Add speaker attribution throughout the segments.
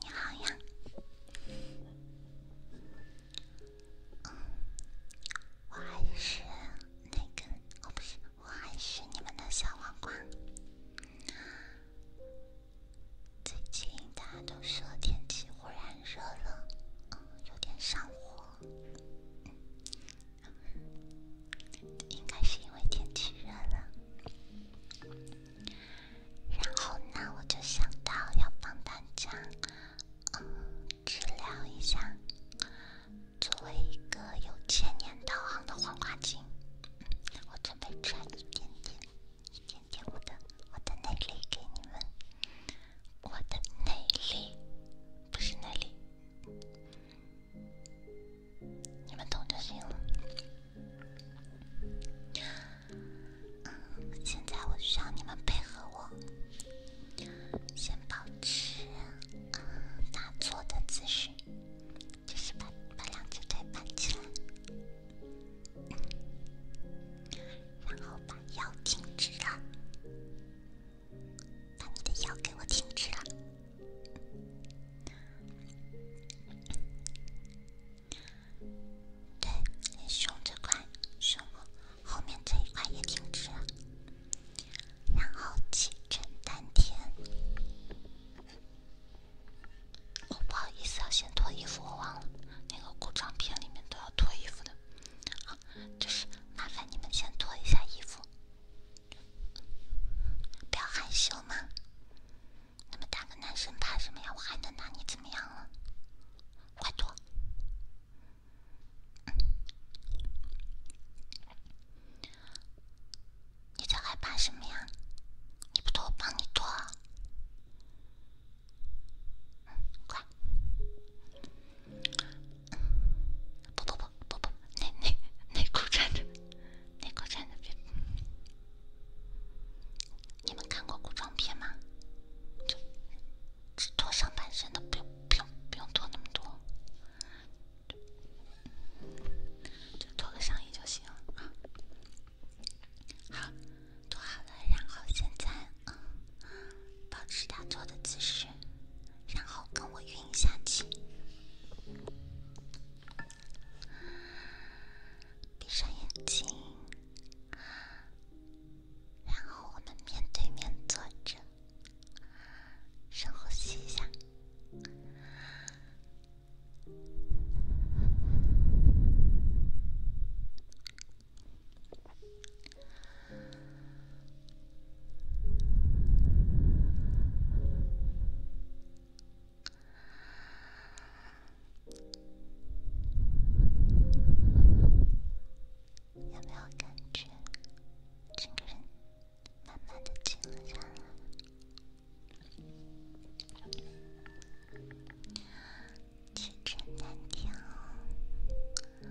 Speaker 1: 你好呀，我还是那个，我不是，我还是你们的小黄瓜。最近大家都说天气忽然热了，嗯，有点上火。应该是因为天气热了，然后呢，我就想到要帮大家，嗯，治疗一下。作为一个有千年道行的黄花精，我准备展一点点，一点点我的我的内力给你们。我的内力，不是内力。你们懂就行了。现在我需要你们配合我，先保持打坐的姿势，就是把把两只腿搬起来，然后把腰挺直了，把你的腰给我挺直了。对，胸这块，胸部后面这一块也挺直，然后气沉丹田。哦，不好意思，要先脱衣服，我忘了，那个古装片里面都要脱衣服的，好，就是麻烦你们先脱一下衣服。不要害羞嘛，那么大个男生怕什么呀？我还能拿你怎么样了？快脱！你在害怕什么呀？你不脱我帮你脱，嗯，乖。不不不不不，内内内裤站着，内裤站着。别，你们看过古装片吗？就脱上半身的，不用不用不用脱那么多，就脱个上衣就行好，脱好了，然后现在，保持打坐的姿势。然后跟我晕下去，闭上眼睛，然后我们面对面坐着，深呼吸一下。有没有感觉整个人慢慢的静了？真难听哦！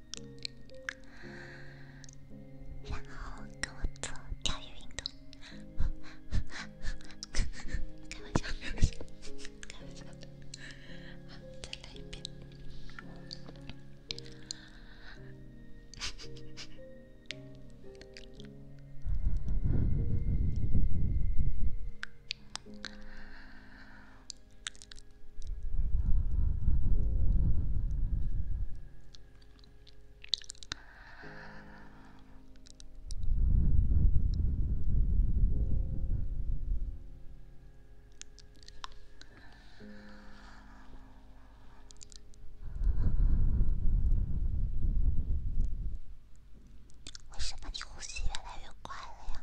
Speaker 1: 然后跟我做钓鱼运动，开玩笑，开玩笑，开玩笑，好，再来一遍。为什么你呼吸越来越快了呀？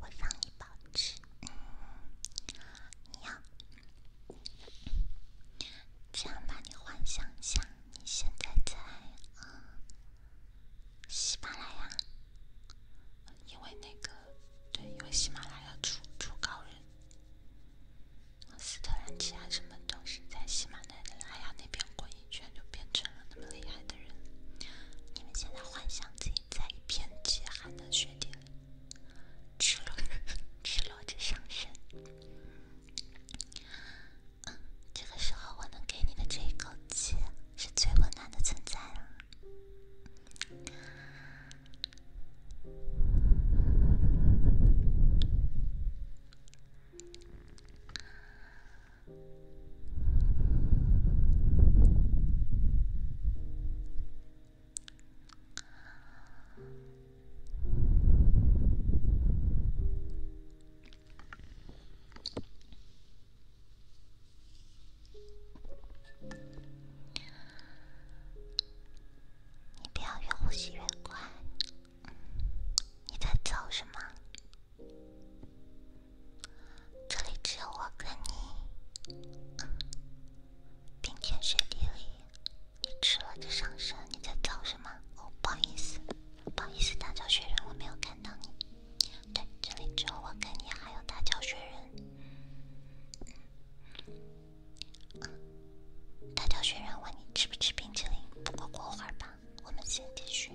Speaker 1: 我让你保持，你要这样吧？你幻想一下，你现在在嗯，喜马拉雅，因为那个对，因为喜马拉雅出出高人，斯特兰奇啊什么都是在喜马拉雅那边滚一圈，就变成了那么厉害的人。你们现在幻想自己。在一片极寒的雪地，赤裸赤裸着上身。这个时候，我能给你的这一口气，是最温暖的存在了。你不要越呼吸越快，你在做什么？这里只有我跟你，冰天雪地里，你吃了就上身。你在造什么？不好意思，不好意思，大脚雪人我没有看到你。对，这里只有我跟你，还有大脚雪人。大脚雪人问你吃不吃冰淇淋？不过过会儿吧。我们先继续。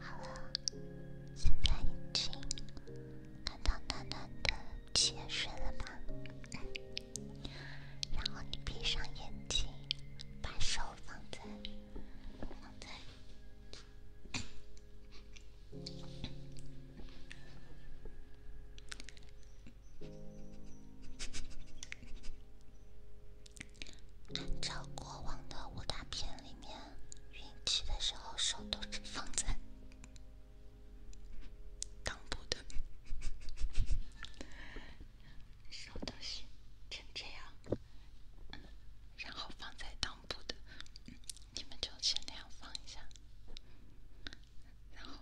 Speaker 1: 好了，现在已经感到暖暖的泉水了吧？然后你闭上眼睛，把手放在，放在。按照过往的武打片里面，运气的时候手都是放在裆部的，手都是成这样，然后放在裆部的，你们就先那样放一下。然后，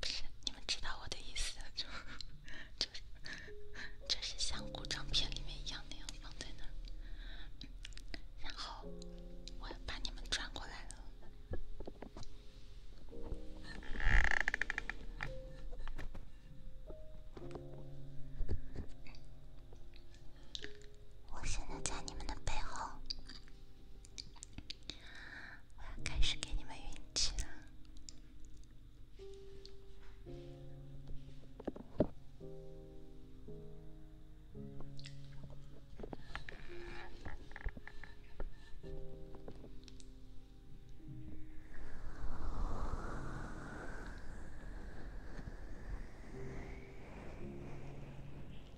Speaker 1: 不是你们知道我的意思，就就就是像古装片里面一样那样放在那儿，然后我把你们转过来了。我现在在你们的背后，我要开始给你们运气了。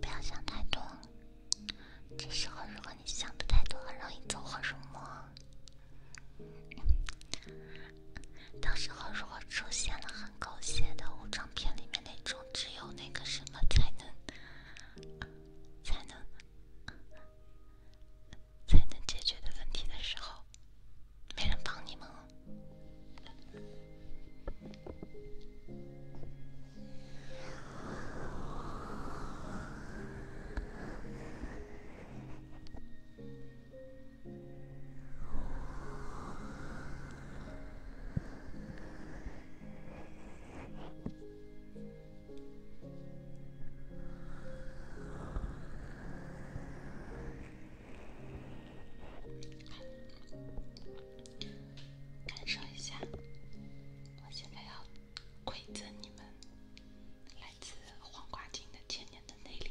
Speaker 1: 不要想太多。这时候，如果你想的太多，很容易走火入魔。到时候，如果出现了很狗血的武装片里面那种只有那个什么才能、才能、才能解决的问题的时候。没人帮你吗？感受一下，我现在要馈赠你们来自黄瓜精的千年的内力。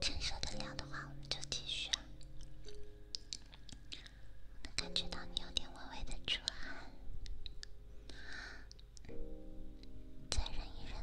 Speaker 1: 承受得了的话，我们就继续。我能感觉到你有点微微的出汗，再忍一忍。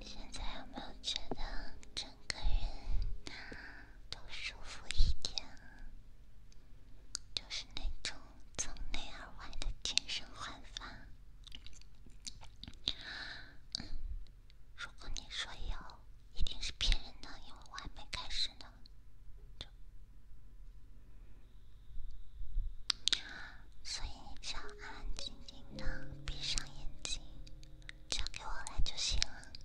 Speaker 1: 现在有没有觉得整个人？都舒服一点，就是那种从内而外的精神焕发。如果你说以后一定是骗人的，因为我还没开始呢。所以你只要安安静静的闭上眼睛，交给我来就行了。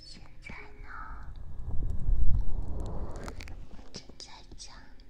Speaker 1: 现在呢？正在讲。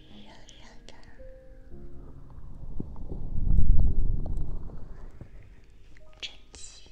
Speaker 1: 热热的，蒸汽。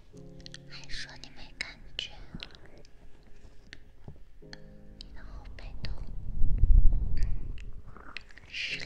Speaker 1: 还说你没感觉，你的后背都湿了。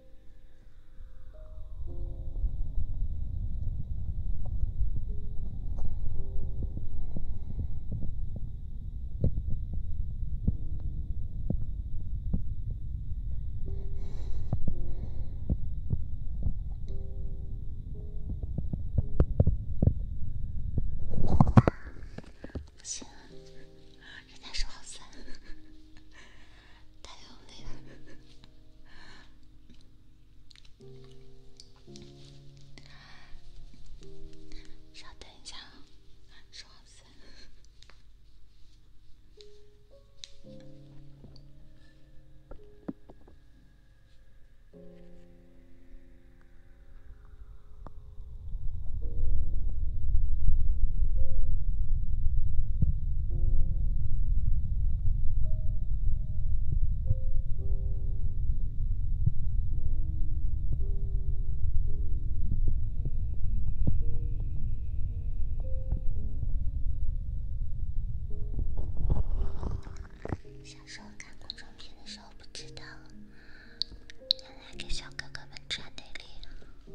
Speaker 1: 不行，人家受，好酸。太用力了，稍等一下啊，说好小时候看古装片的时候，不知道原来给小哥哥们穿的料。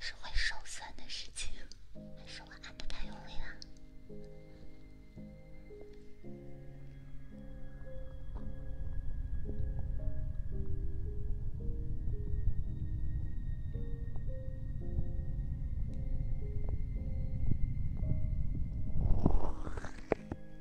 Speaker 1: 是会手酸的事情，还是我按得太用力了？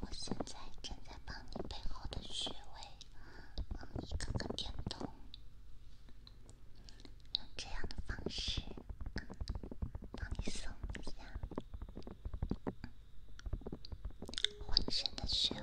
Speaker 1: 我现在正在帮你背后的穴位往一个个点动，用这样的方式。帮你松一下浑身的穴位。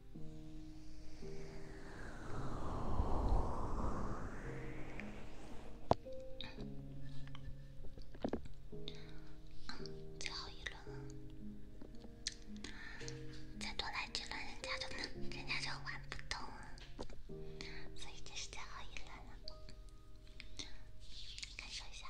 Speaker 1: 最后一轮了，再多来几人家就弄，人家就玩不动了，所以这是最后一轮了。感受一下。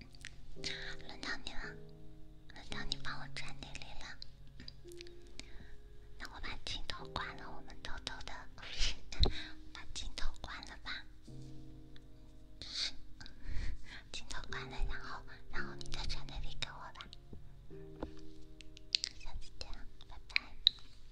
Speaker 1: 轮到你了，轮到你帮我传那里了。那我把镜头关了，我们偷偷的，把镜头关了吧。是，镜头关了，然后，然后你再传那里给我吧。下次见，拜拜。